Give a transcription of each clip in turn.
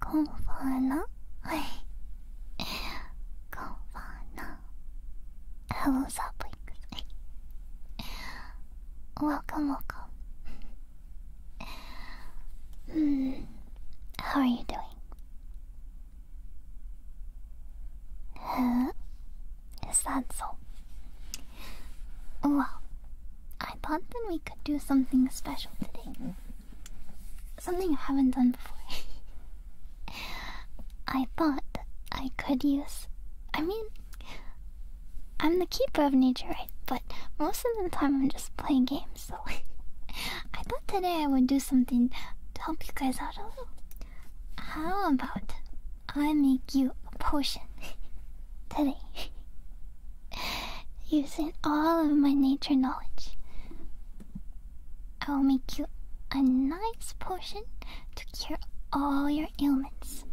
こんファーナはいこんファーナ Hello Zappings Welcome welcome Hmm How are you doing? Huh? Is that so? Oh, well, I thought then we could do something special today. Something I haven't done before. I thought I could use. I mean, I'm the keeper of nature, right? But most of the time I'm just playing games, so I thought today I would do something to help you guys out a little. How about I make you a potion today? using all of my nature knowledge. I will make you a nice potion to cure all your ailments.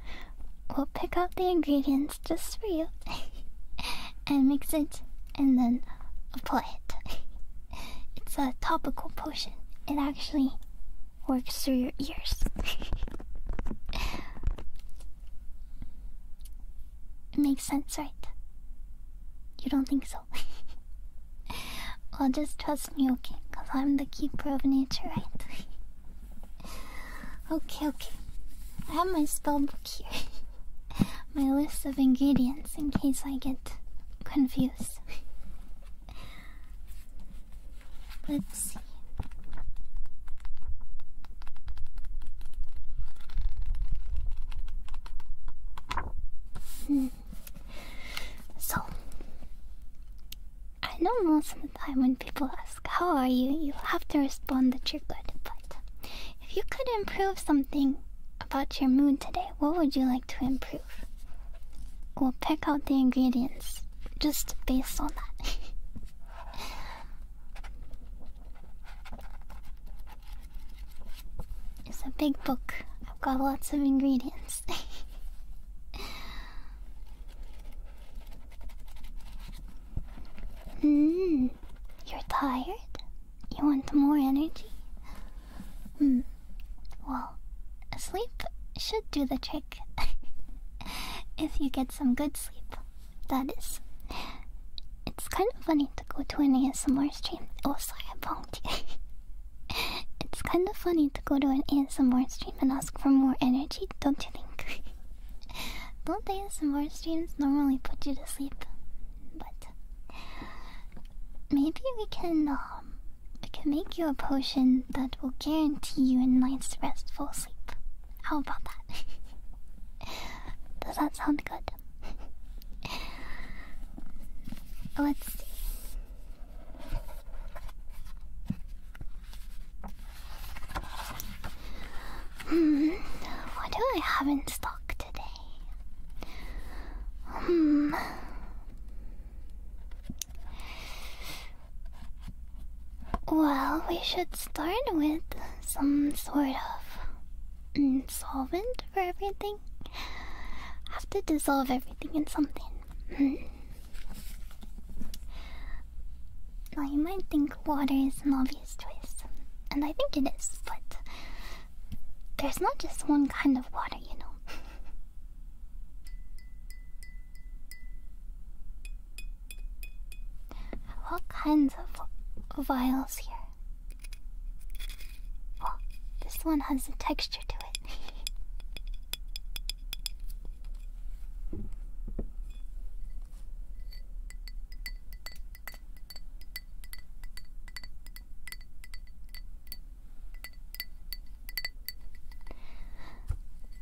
We'll pick out the ingredients just for you and mix it and then apply it. it's a topical potion, it actually works through your ears. It makes sense, right? You don't think so? I'll just trust me, okay? Because I'm the keeper of nature, right? okay, okay. I have my spell book here. my list of ingredients in case I get confused. Let's so, I know most of the time when people ask, How are you? you have to respond that you're good. But if you could improve something about your mood today, what would you like to improve? We'll pick out the ingredients just based on that. It's a big book. I've got lots of ingredients. Mmm, you're tired? You want more energy? Hmm. Well, sleep should do the trick if you get some good sleep that is. It's kind of funny to go to an ASMR stream. Oh, sorry, I bonked you. it's kind of funny to go to an ASMR stream and ask for more energy, don't you think? don't ASMR streams normally put you to sleep? But maybe we can um, we can make you a potion that will guarantee you a nice, restful sleep. How about that? Does that sound good? Let's see. Hmm, what do I have in stock today? Hmm. Well, we should start with some sort of mm, solvent for everything. Have to dissolve everything in something. Hmm. now, you might think water is an obvious choice, and I think it is, but there's not just one kind of water, you know. What kinds of vials here. Oh, this one has a texture to it.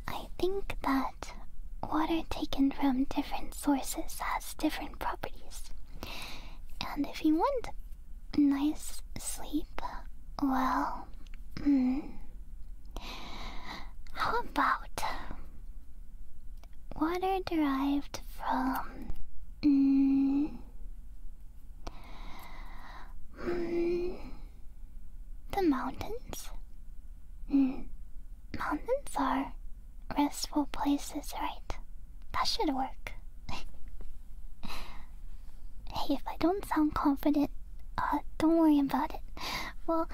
I think that water taken from different sources has different properties. And if you want nice sleep, well, hmm, how about water derived from. Hmm, hmm, the mountains? Mountains are restful places, right? That should work. hey, if I don't sound confident, uh, don't worry about it. Well,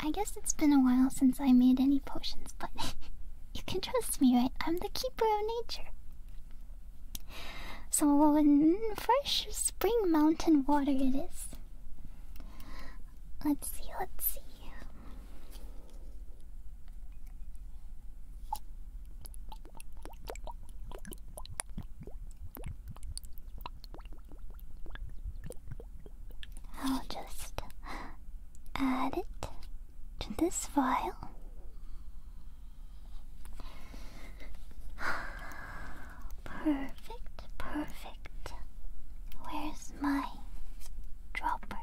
I guess it's been a while since I made any potions, but you can trust me, right? I'm the keeper of nature. So, fresh spring mountain water it is. Let's see, let's see. I'll just add it to this file. Perfect, perfect. Where's my dropper?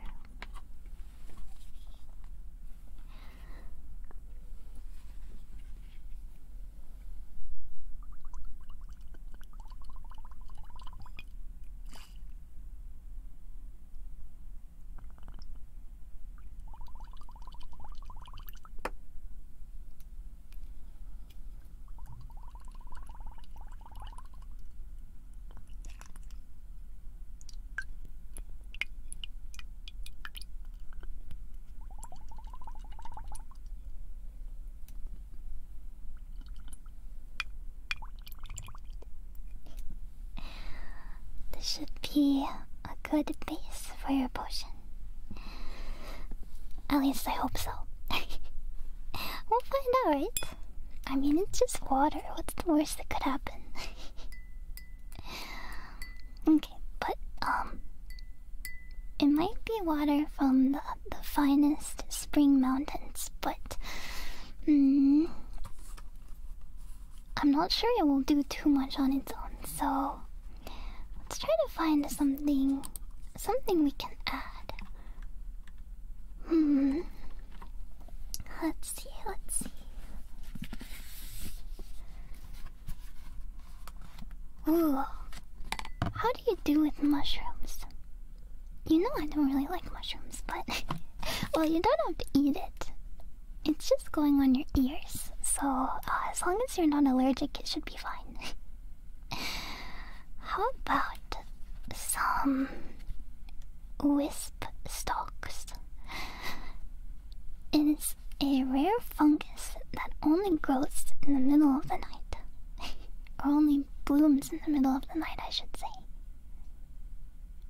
This should be a good base for your potion. At least I hope so. we'll find out, right? I mean, it's just water. What's the worst that could happen? okay, but, um, it might be water from the, the finest spring mountains, but, mm, I'm not sure it will do too much on its own, so let's try to find something something we can add. Hmm. Let's see, let's see. Ooh. How do you do with mushrooms? You know I don't really like mushrooms, but well, you don't have to eat it. It's just going on your ears, so uh, as long as you're not allergic, it should be fine. How about some wisp stalks? It is a rare fungus that only grows in the middle of the night. or only blooms in the middle of the night, I should say.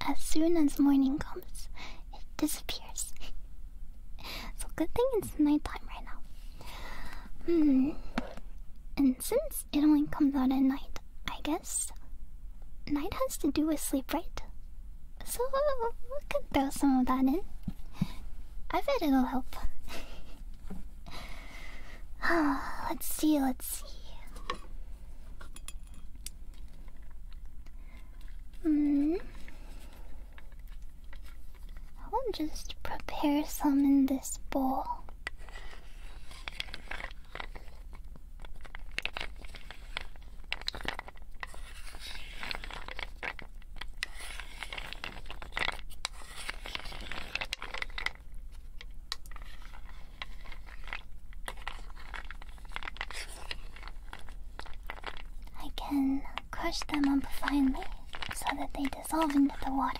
As soon as morning comes, it disappears. so, good thing it's time right now. Hmm. And since it only comes out at night, I guess. Night has to do with sleep, right? So we can throw some of that in. I bet it'll help. Ah, let's see, let's see. Hmm. I'll just prepare some in this bowl. I can crush them up behind so that they dissolve into the water.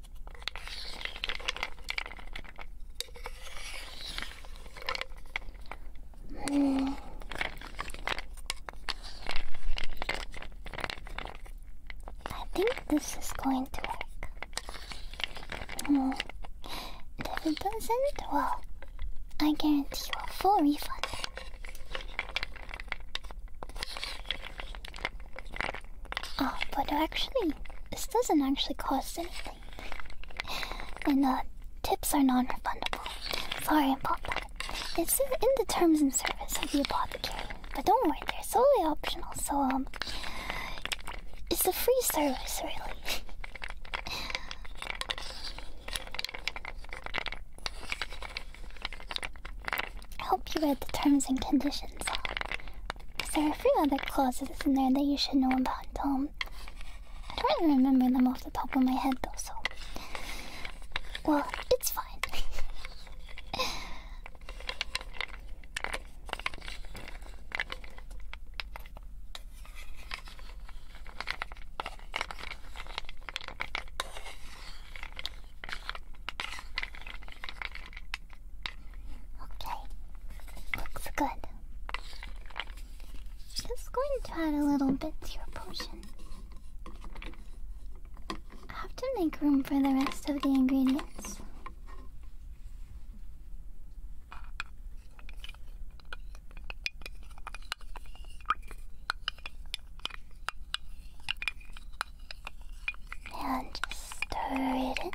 I think this is going to work. if it doesn't, well, I guarantee a full refund. Oh, but actually, this doesn't actually cost anything. And uh, tips are non refundable. Sorry about that. It's uh, in the terms and service of the apothecary. But don't worry, they're solely optional, so, um, it's a free service, really. I hope you read the terms and conditions. Because there are a few other clauses in there that you should know about. Um, I don't really remember them off the top of my head though, so. Well, it's fine. Okay, looks good. Just going to add a little bit to your potion. I have to make room for the rest of the ingredients. And just stir it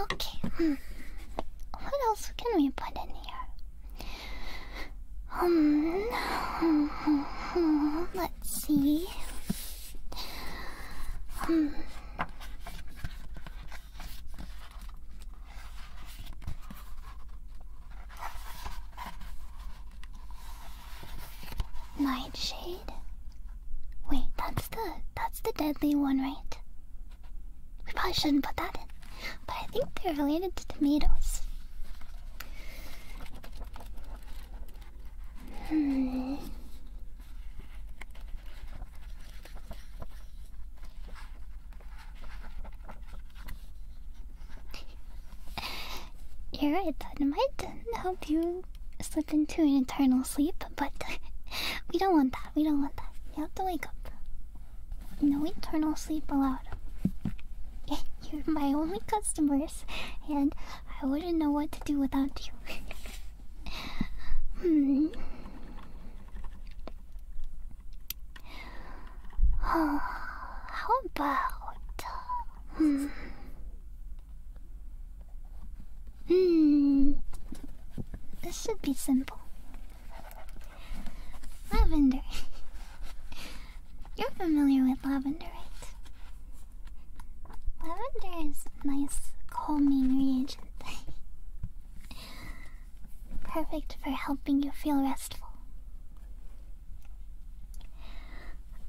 Okay. Hmm. What else can we put in here? Um. Let's see. Um. Nightshade. Wait, that's the that's the deadly one, right? We probably shouldn't put that in. But I think they're related to tomatoes. Hmm. that might help you slip into an eternal sleep, but we don't want that. We don't want that. You have to wake up. No eternal sleep allowed. You're my only customers, and I wouldn't know what to do without you. hmm. how about? Hmm. Hmm. This should be simple. Lavender. You're familiar with lavender, right? Lavender is a nice calming reagent. Perfect for helping you feel restful.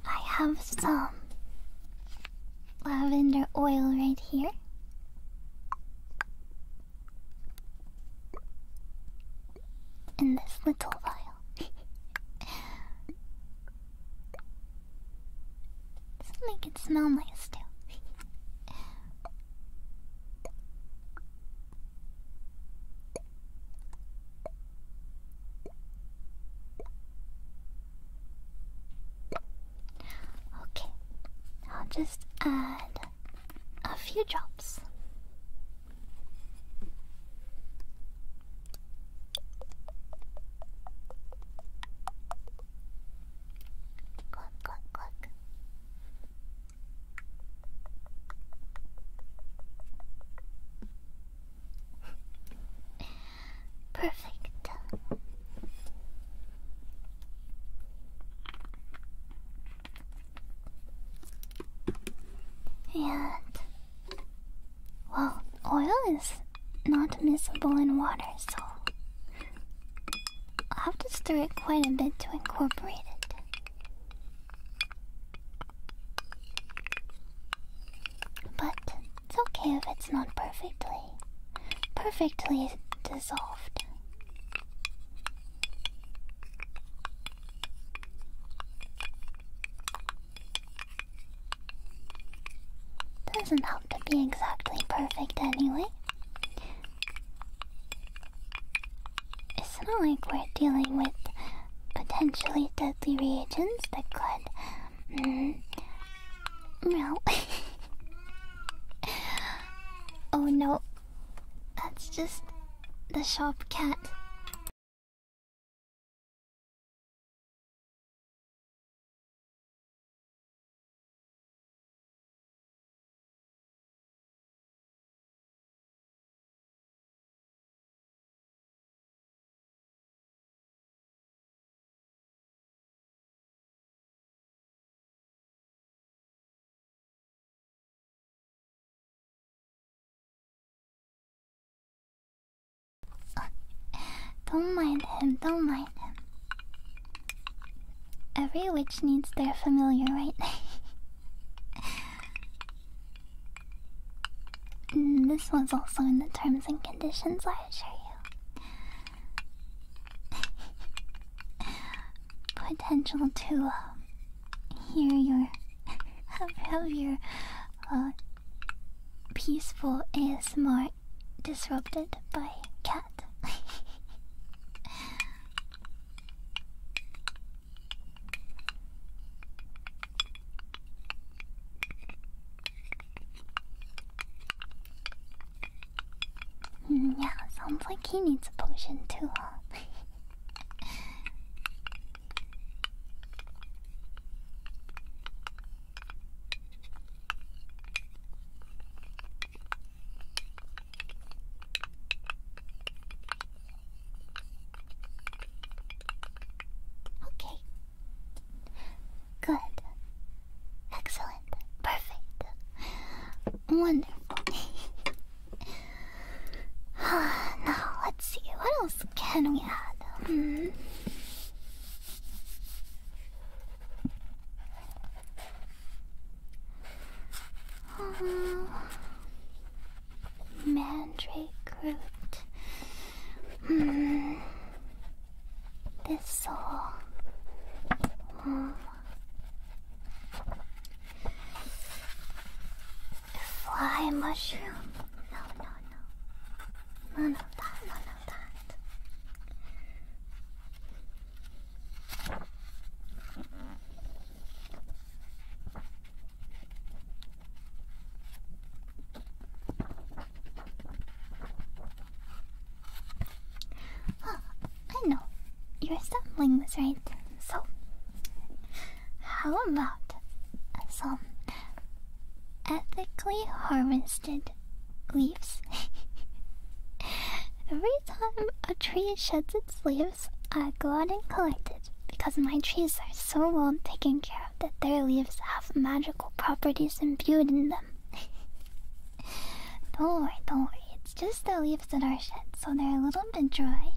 I have some lavender oil right here. In this little vial. make it smell nice too. Okay, I'll just add a few drops. Cluck, cluck, cluck. Perfect. And well, oil is not miscible in water, so I'll have to stir it quite a bit to incorporate it. But it's okay if it's not perfectly perfectly dissolved. Doesn't have to be exactly perfect anyway. It's not like we're dealing with potentially deadly reagents that could Mm-hmm. no. oh no. That's just the shop cat. Don't mind him, don't mind him. Every witch needs their familiar, right? this was also in the terms and conditions, I assure you potential to uh, hear your have your uh, peaceful ASMR disrupted by cat yeah, sounds like he needs a potion too, huh? okay, Good. Excellent. Perfect. Wonderful. now, let's see. What else can we add? Hmm. Uh, mandrake root. Hmm. ってさうん Fly mushroom. No, no, no. None of that, none of that. Oh, I know. you're stumbling was right. So, how about some ethically harvested leaves? Every time a tree sheds its leaves, I go out and collect it because my trees are so well taken care of that their leaves have magical properties imbued in them. don't worry, don't worry. It's just the leaves that are shed, so they're a little bit dry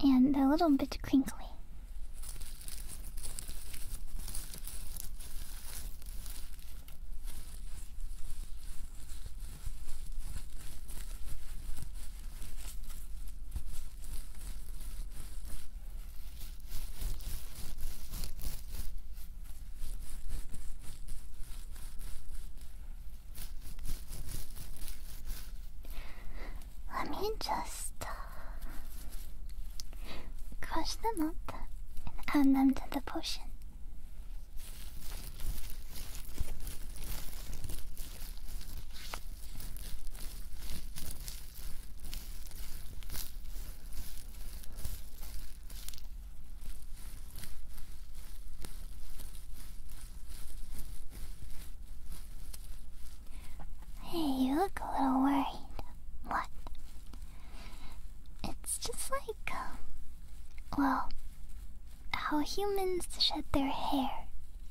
and a little bit crinkly. Let me just uh, crush them up and add them to the potion. Hey, you look a little worried. What? It's just like, um, well, how humans shed their hair,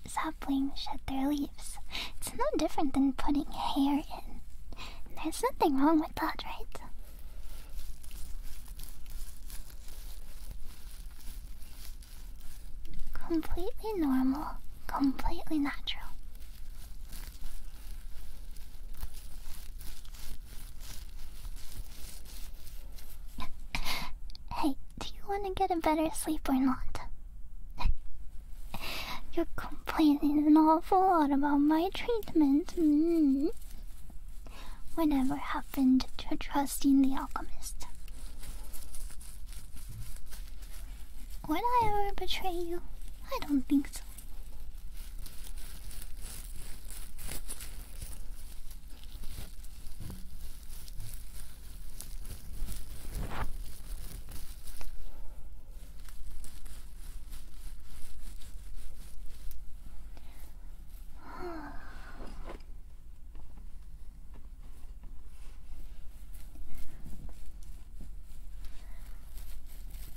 saplings shed their leaves. It's no different than putting hair in. There's nothing wrong with that, right? Completely normal, completely natural. hey, do you want to get a better sleep or not? You're complaining an awful lot about my treatment. Mm. Whatever happened to trusting the alchemist? Would I ever betray you? I don't think so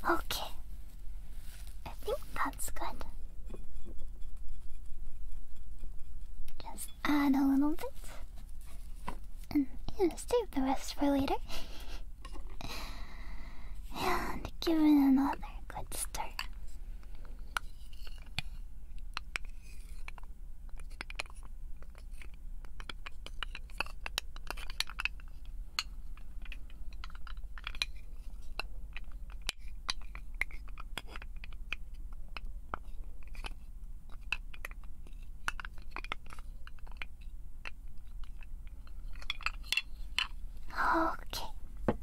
okay, I think that's good. Just add a little bit and save the rest for later. and give it another good start. Okay.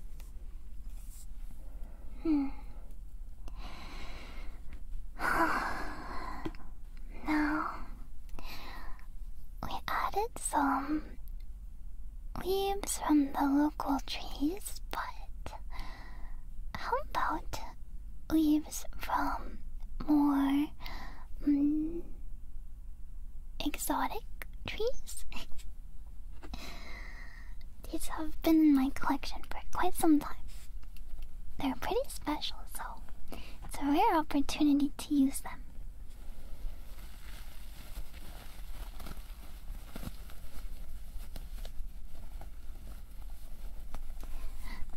Hmm. now we added some leaves from the local trees, but how about leaves from more mm, exotic trees. These have been in my collection for quite some time. They're pretty special, so it's a rare opportunity to use them.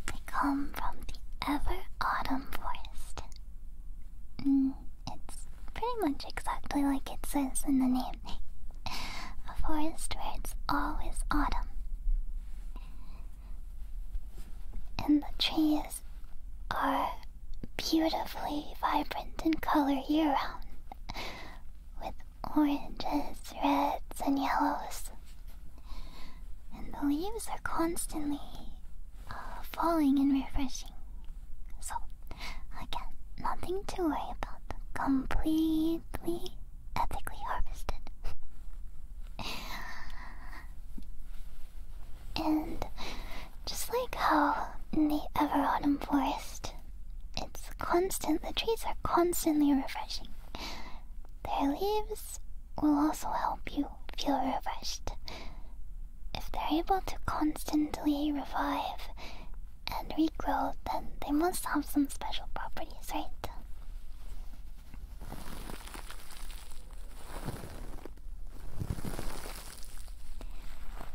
They come from the ever autumn forest. Mm, it's pretty much exactly like it says in the name. A forest where it's always autumn. And the trees are beautifully vibrant in color year round, with oranges, reds, and yellows. And the leaves are constantly uh, falling and refreshing. So, again, nothing to worry about. Completely ethically harvested. and just like how in the Ever Autumn Forest, it's constant, the trees are constantly refreshing. Their leaves will also help you feel refreshed. If they're able to constantly revive and regrow, then they must have some special properties, right?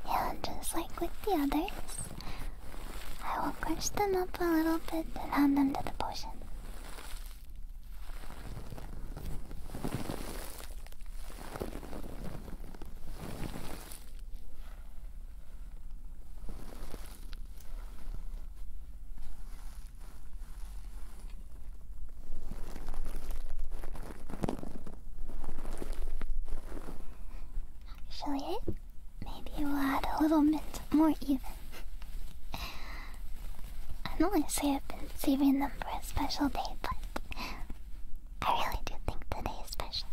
Yeah, just like with the others, I will crunch them up a little bit and hand them to the potion. Actually, maybe we'll add a little bit more even. I normally say I've been saving them for a special day, but I really do think today is special.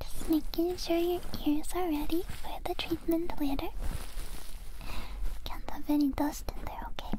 Just making sure your ears are ready for the treatment later. Can't have any dust in there, okay?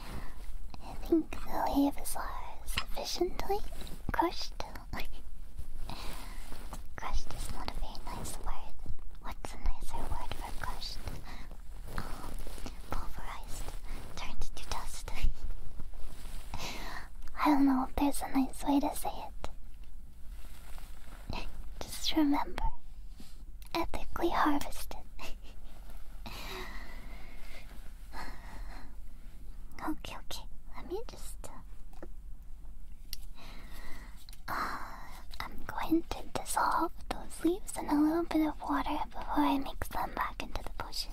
I think the waves are sufficiently crushed. crushed is not a very nice word. What's a nicer word for crushed? pulverized, turned to dust. I don't know if there's a nice way to say it. Just remember, ethically harvested. okay, okay. Let me just. Uh, I'm going to dissolve those leaves in a little bit of water before I mix them back into the potion.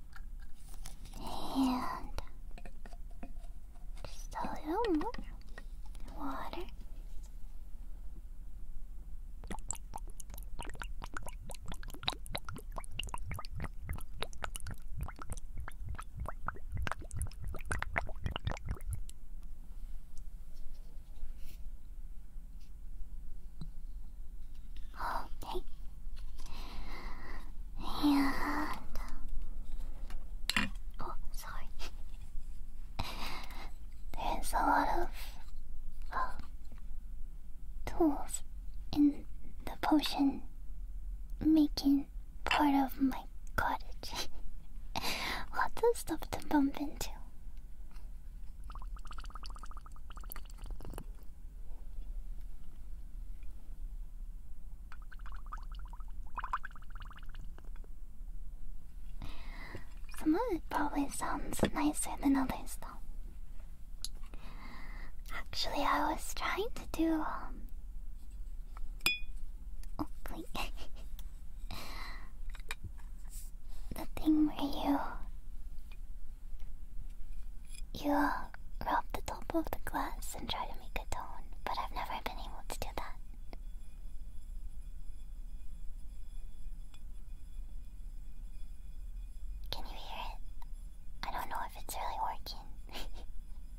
And just a little more water. Okay. And oh, sorry. There's a lot of uh, tools in the potion making part of my cottage. Lots of stuff to bump into. Some of it probably sounds nicer than others, though. Actually, I was trying to do. Um... Oh, the thing where you. you rub the top of the glass and try to make a tone, but I've never been able to do that. Can you hear it? I don't know if it's really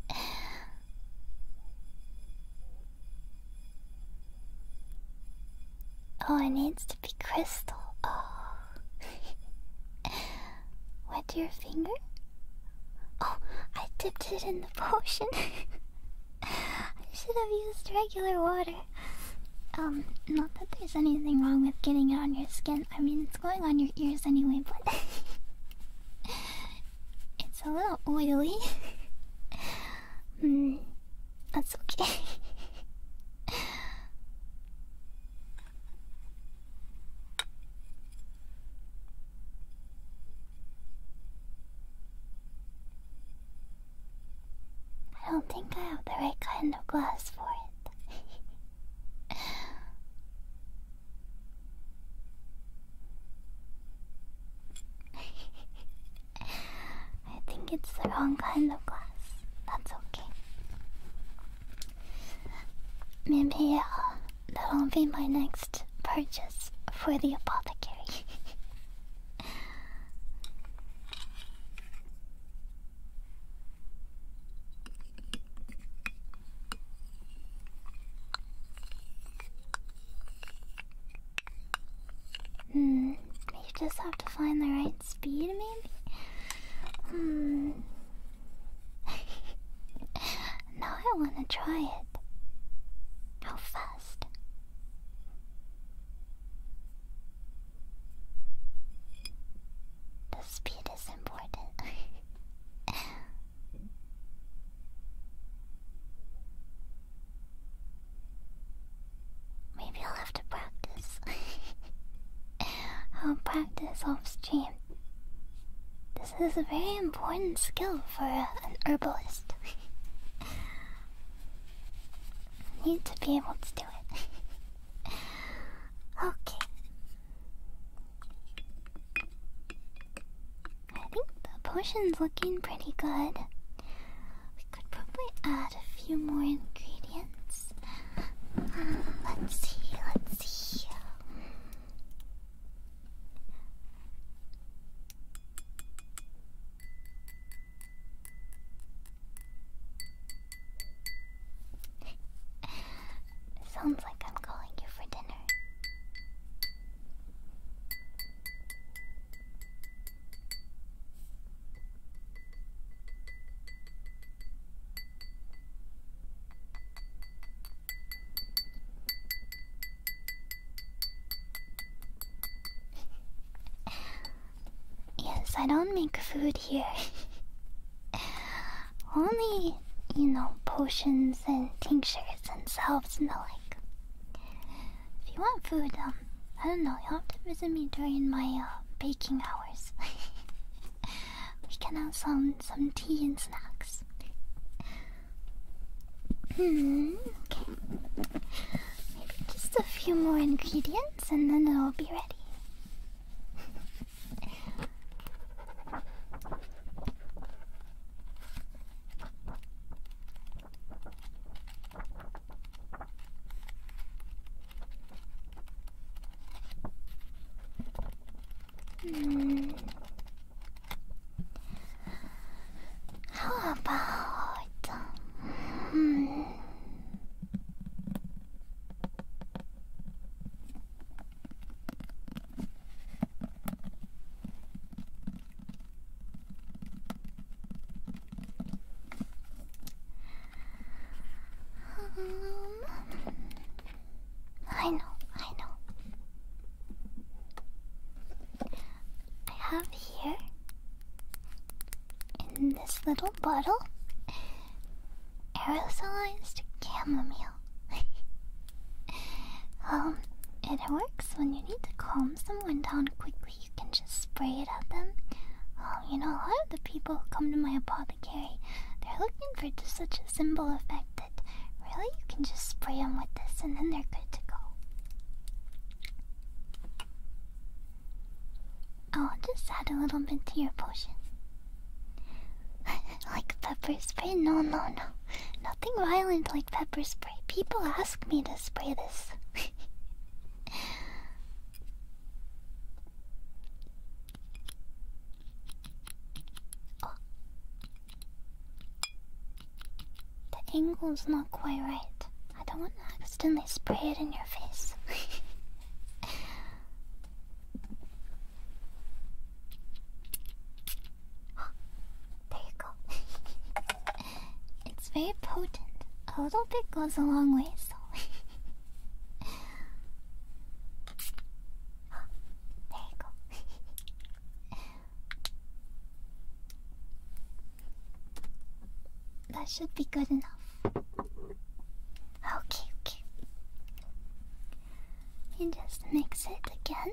working. oh, it needs to be crystal. Oh. Wet your finger? Oh, I dipped it in the potion. I should have used regular water. Um, not that there's anything wrong with getting it on your skin. I mean, it's going on your ears anyway, but it's a little oily. Hmm, that's okay. I don't think I have the right kind of glass for it. I think it's the wrong kind of glass. That's okay. Maybe I'll uh, that'll be my next purchase for the apothecary. Hmm, you just have to find the right speed, maybe? Hmm. Now I want to try it. How fast? The speed is important. Maybe I'll have to practice. I'll practice off this is a very important skill for an herbalist. you need to be able to do it. okay. I think the potion's looking pretty good. We could probably add a few more ingredients. Uh, let's see, let's see. Sounds like I'm calling you for dinner yes, I don't make food here. Only, you know, potions and tinctures and salves and the like. If you want food, um, I don't know, you'll have to visit me during my uh, baking hours. we can have some some tea and snacks. Hmm, okay. Maybe just a few more ingredients and then it'll be ready. Hmm. How about hmm. Um, I know, I know. I have here in this little bottle aerosolized chamomile. um, it works when you need to calm someone down quickly. You can just spray it at them. Um, you know, a lot of the people who come to my apothecary, they're looking for just such a simple effect Really? You can just spray them with this and then they're good to go. Oh, just add a little bit to your potion. like pepper spray? No, no, no. Nothing violent like pepper spray. People ask me to spray this. oh. The angle's not quite right. I don't want to accidentally spray it in your face. there you go. it's very potent. A little bit goes a long way, so. there you go. that should be good enough. Okay, okay. just mix it again.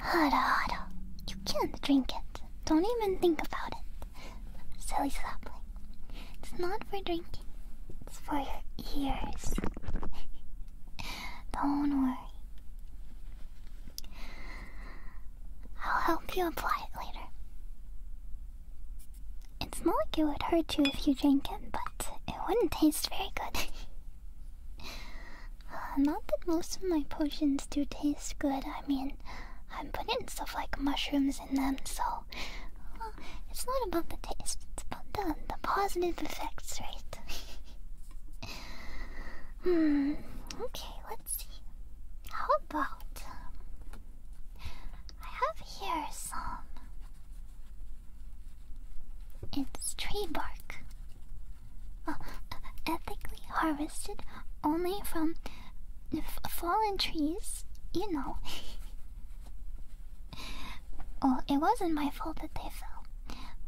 Hada hada. You can't drink it. Don't even think about it. Silly sapling. It's not for drinking. It's for your ears. Don't worry. I'll help you apply it later. It's not like it would hurt you if you drank it, but it wouldn't taste very good. Uh, not that most of my potions do taste good. I mean, I'm putting stuff like mushrooms in them, so uh, it's not about the taste. It's about the the positive effects, right? hmm. Okay, let's see. How about um, I have here some it's tree bark. ethically harvested only from fallen trees, you know. oh, it wasn't my fault that they fell.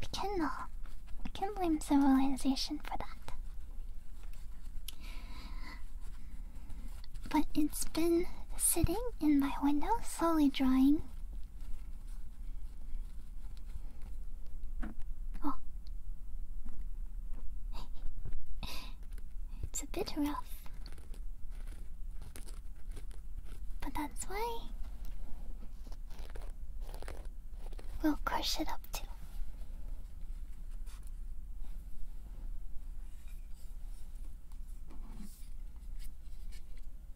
We cannot, uh, we can blame civilization for that. But it's been sitting in my window, slowly drying Oh. it's a bit rough. But that's why we'll crush it up too. Crush,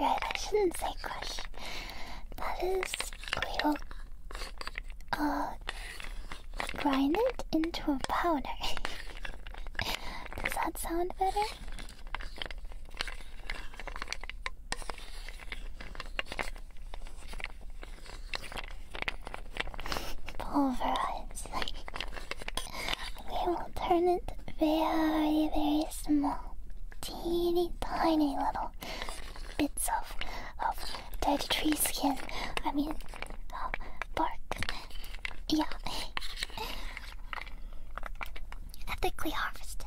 right? I shouldn't say crush. That is Cleo uh, grind it into a powder. Does that sound better? Pulverize. we will turn it very, very small. Teeny tiny little bits of, of dead tree skin. I mean, bark. Yeah. Ethically harvested.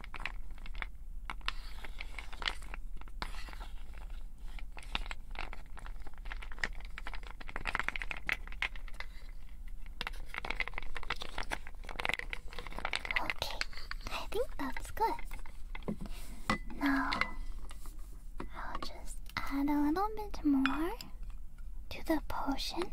Okay, I think that's good. Now, I'll just add a little bit more to the potion.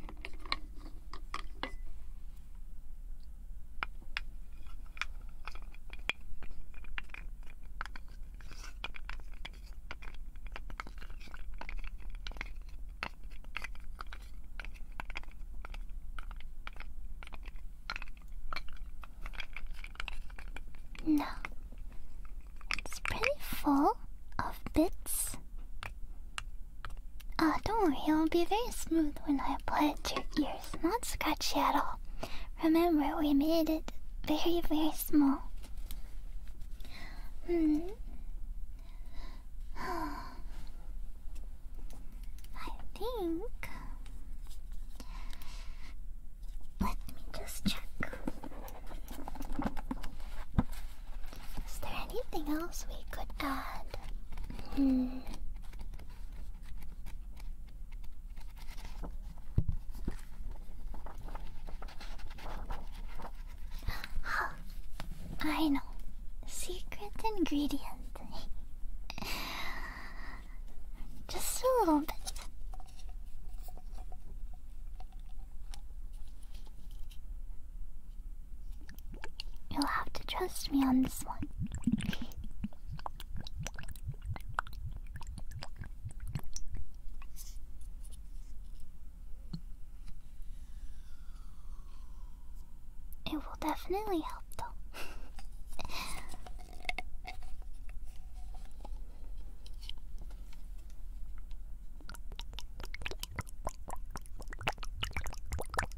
No, it's pretty full of bits. Ah, don't worry, it'll be very smooth when I apply it to your ears. It's not scratchy at all. Remember, we made it very, very small. Hmm. I think. Let me just check. Is there anything else we could add? Hmm. I know. Secret ingredient. Just a little bit. You'll have to trust me on this one. It will definitely help, though. And I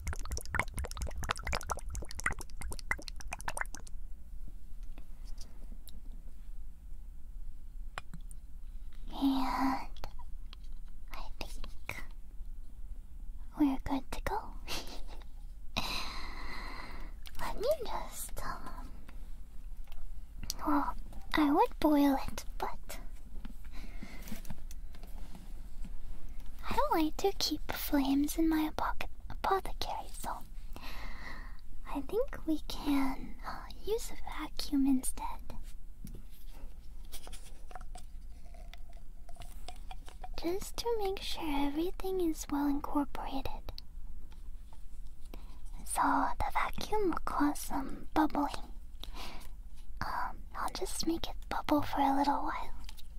think we're good to go. Let me just, um, well, I would boil it, but I don't like to keep flames in my apothecary, so I think we can uh, use a vacuum instead. Just to make sure everything is well incorporated. So the vacuum will some bubbling. Um, I'll just make it bubble for a little while.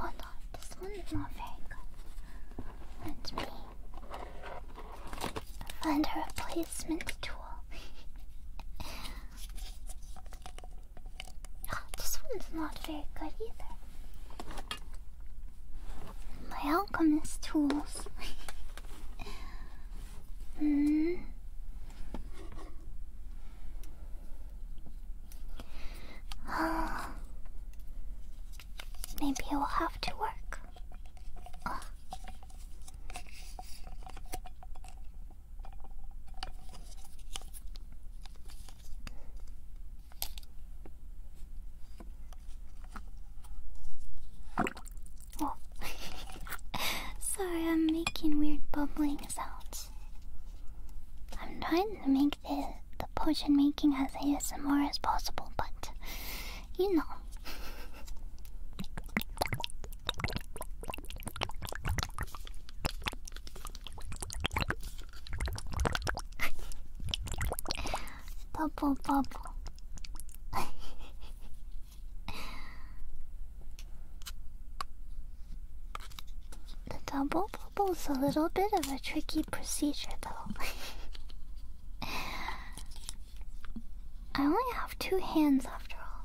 Oh no, this one not very good. Let me find a replacement tool. oh, this one's not very good either. My alchemist tools. mm. Maybe I will have to work. Oh. Sorry, I'm making weird bubbling sounds. I'm trying to make the, the potion making as ASMR as possible, but you know bubble, bubble. the double bubble's a little bit of a tricky procedure, though. I only have two hands after all.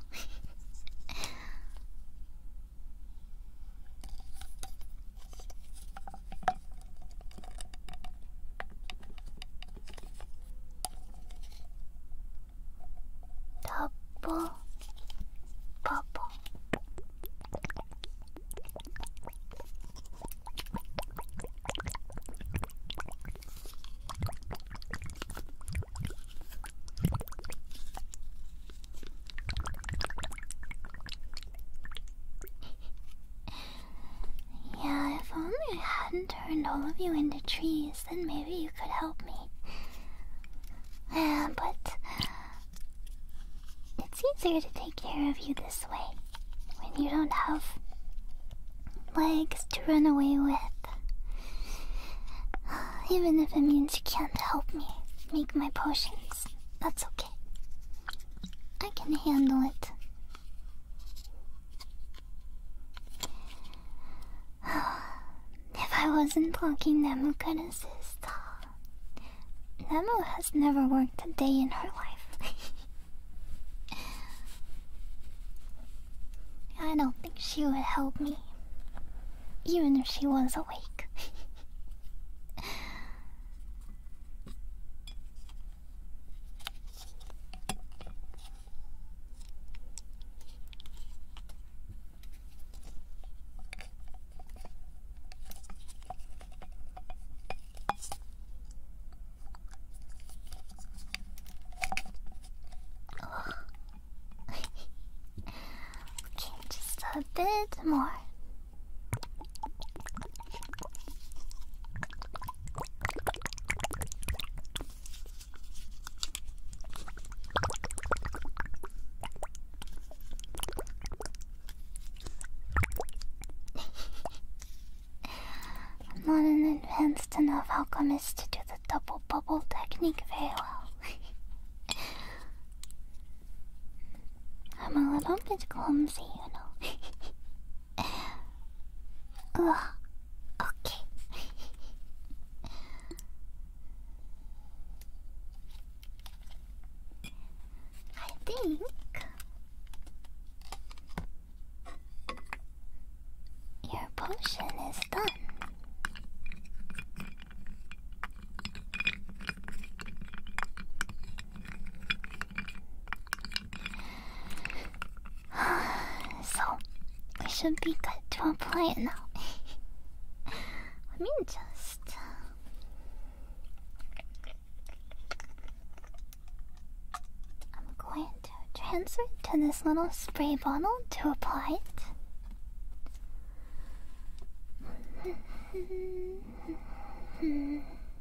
ラッポパポ Yeah, if only I hadn't turned all of you into trees, then maybe you could help me. but it's easier to take care of you this way when you don't have legs to run away with. Even if it means you can't help me make my potions, that's okay. I can handle it. if I wasn't talking blocking Nemu sister, Nemu has never worked a day in her life. I don't think she would help me, even if she was awake. okay, just a bit more. I'm not an advanced enough alchemist to do the double bubble technique very well. I'm a little bit clumsy, you know. うわオッケー I think your potion is done. so, we should be good to apply it now. Let me just. Uh, I'm going to transfer it to this little spray bottle to apply it.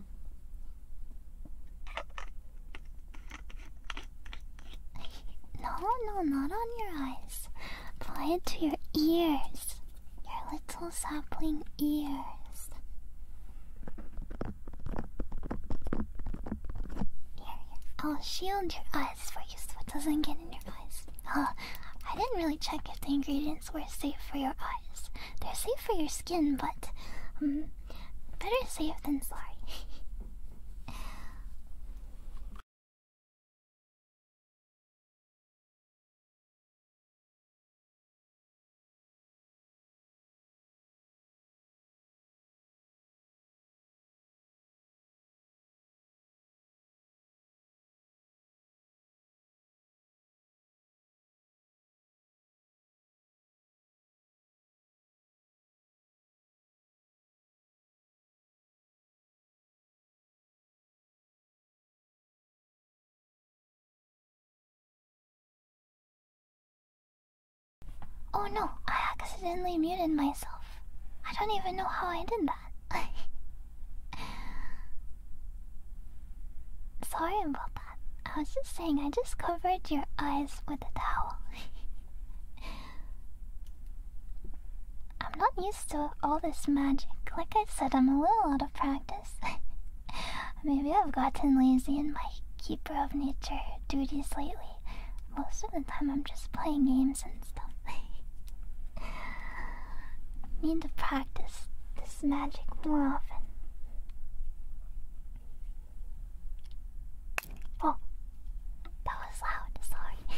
no, no, not on your eyes. Apply it to your ears. Your little sapling ears. Here, I'll shield your eyes for you so it doesn't get in your eyes. Uh, I didn't really check if the ingredients were safe for your eyes. They're safe for your skin, but um, better safe than sorry. Oh no, I accidentally muted myself. I don't even know how I did that. Sorry about that. I was just saying, I just covered your eyes with a towel. I'm not used to all this magic. Like I said, I'm a little out of practice. Maybe I've gotten lazy in my keeper of nature duties lately. Most of the time, I'm just playing games and stuff. Need to practice this magic more often. Oh, that was loud. Sorry.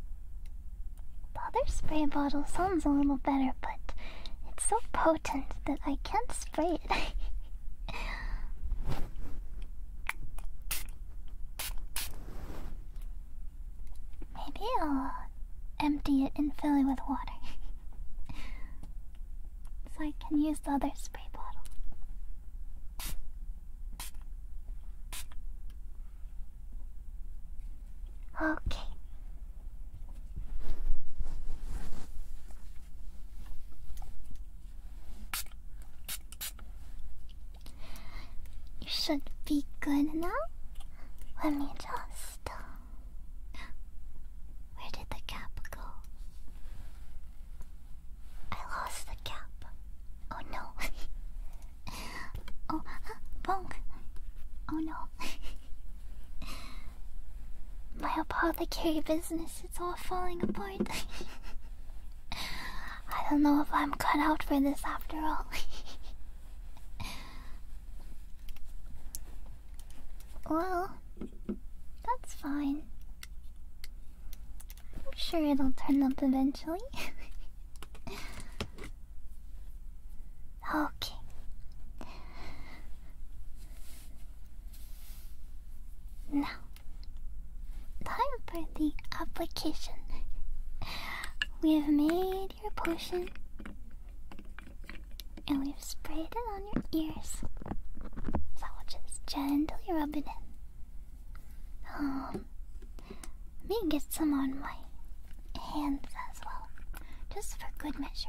the other spray bottle sounds a little better, but it's so potent that I can't spray it. Maybe I'll empty it and fill it with water. so I can use the other spray bottle. Okay. You should be good now. Let me just. Uh, where did the cap go? I lost the cap. Oh no. oh, bonk. Oh no. My apothecary business, it's all falling apart. I don't know if I'm cut out for this after all. Well, that's fine. I'm sure it'll turn up eventually. okay. Now, time for the application. We have made your potion. And we've sprayed it on your ears. So we'll just gently rub it in. Um, let me get some on my hands as well, just for good measure.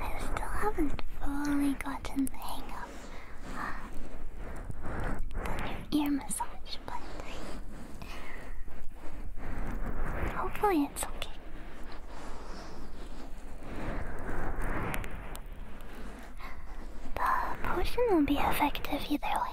I still haven't fully gotten the hang of uh, the new ear massage hopefully it's okay. The potion will be effective either way.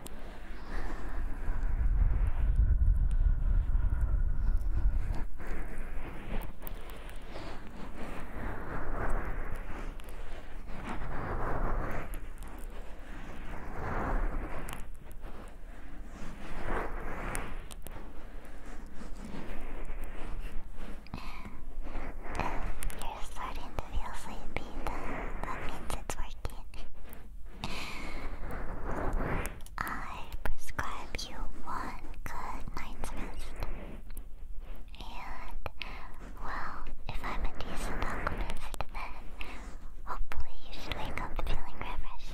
You're starting to feel sleepy, that means it's working. I prescribe you one good night's rest. And, well, if I'm a decent alchemist, then hopefully you should wake up feeling refreshed.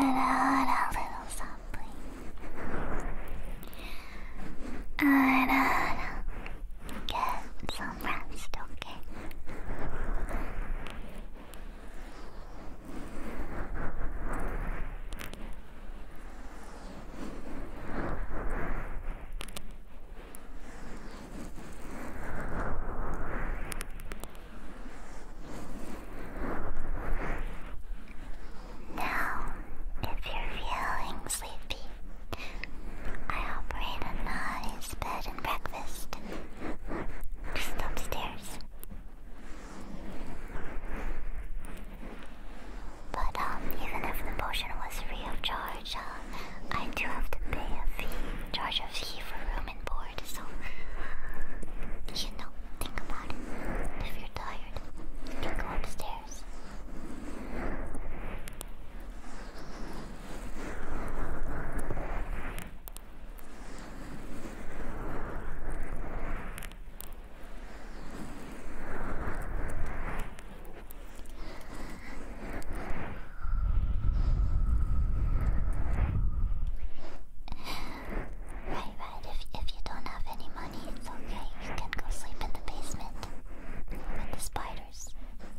あらあら、お風呂寒い I don't uh, get some rest, okay? Now, if you're feeling sleepy, I operate a nice bed and breakfast just upstairs. But um, even if the potion was free of charge, uh, I do have to pay a fee, charge a fee for room and board. So you know, think about it. If you're you're tired, you can go upstairs. Right, right. If, if you don't have any money, it's okay. You can go sleep in the basement with the spiders.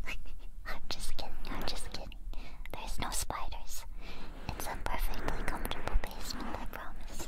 I'm just kidding. I'm just kidding. There's no spiders. It's a perfectly comfortable basement, I promise.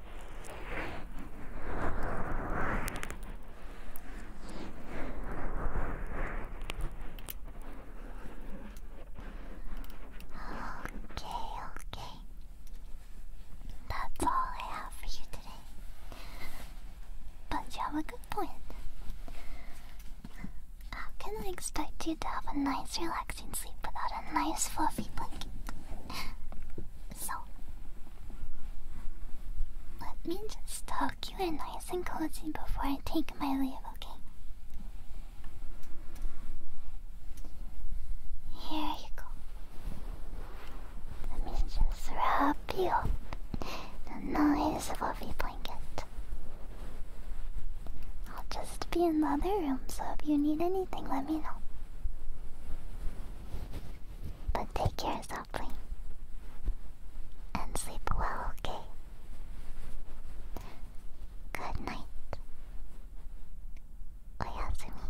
okay. That's all I have for you today. But you have a good point. How can I expect you to have a nice, relaxing sleep without a nice, fluffy blanket? So, let me just tuck you in nice and cozy before I take my leave, okay? Here you go. Let me just wrap you in a nice fluffy blanket. I'll just be in the other room, so if you need anything, let me know. But take care, Sapling. And sleep well, okay? Good night. Oyasumi.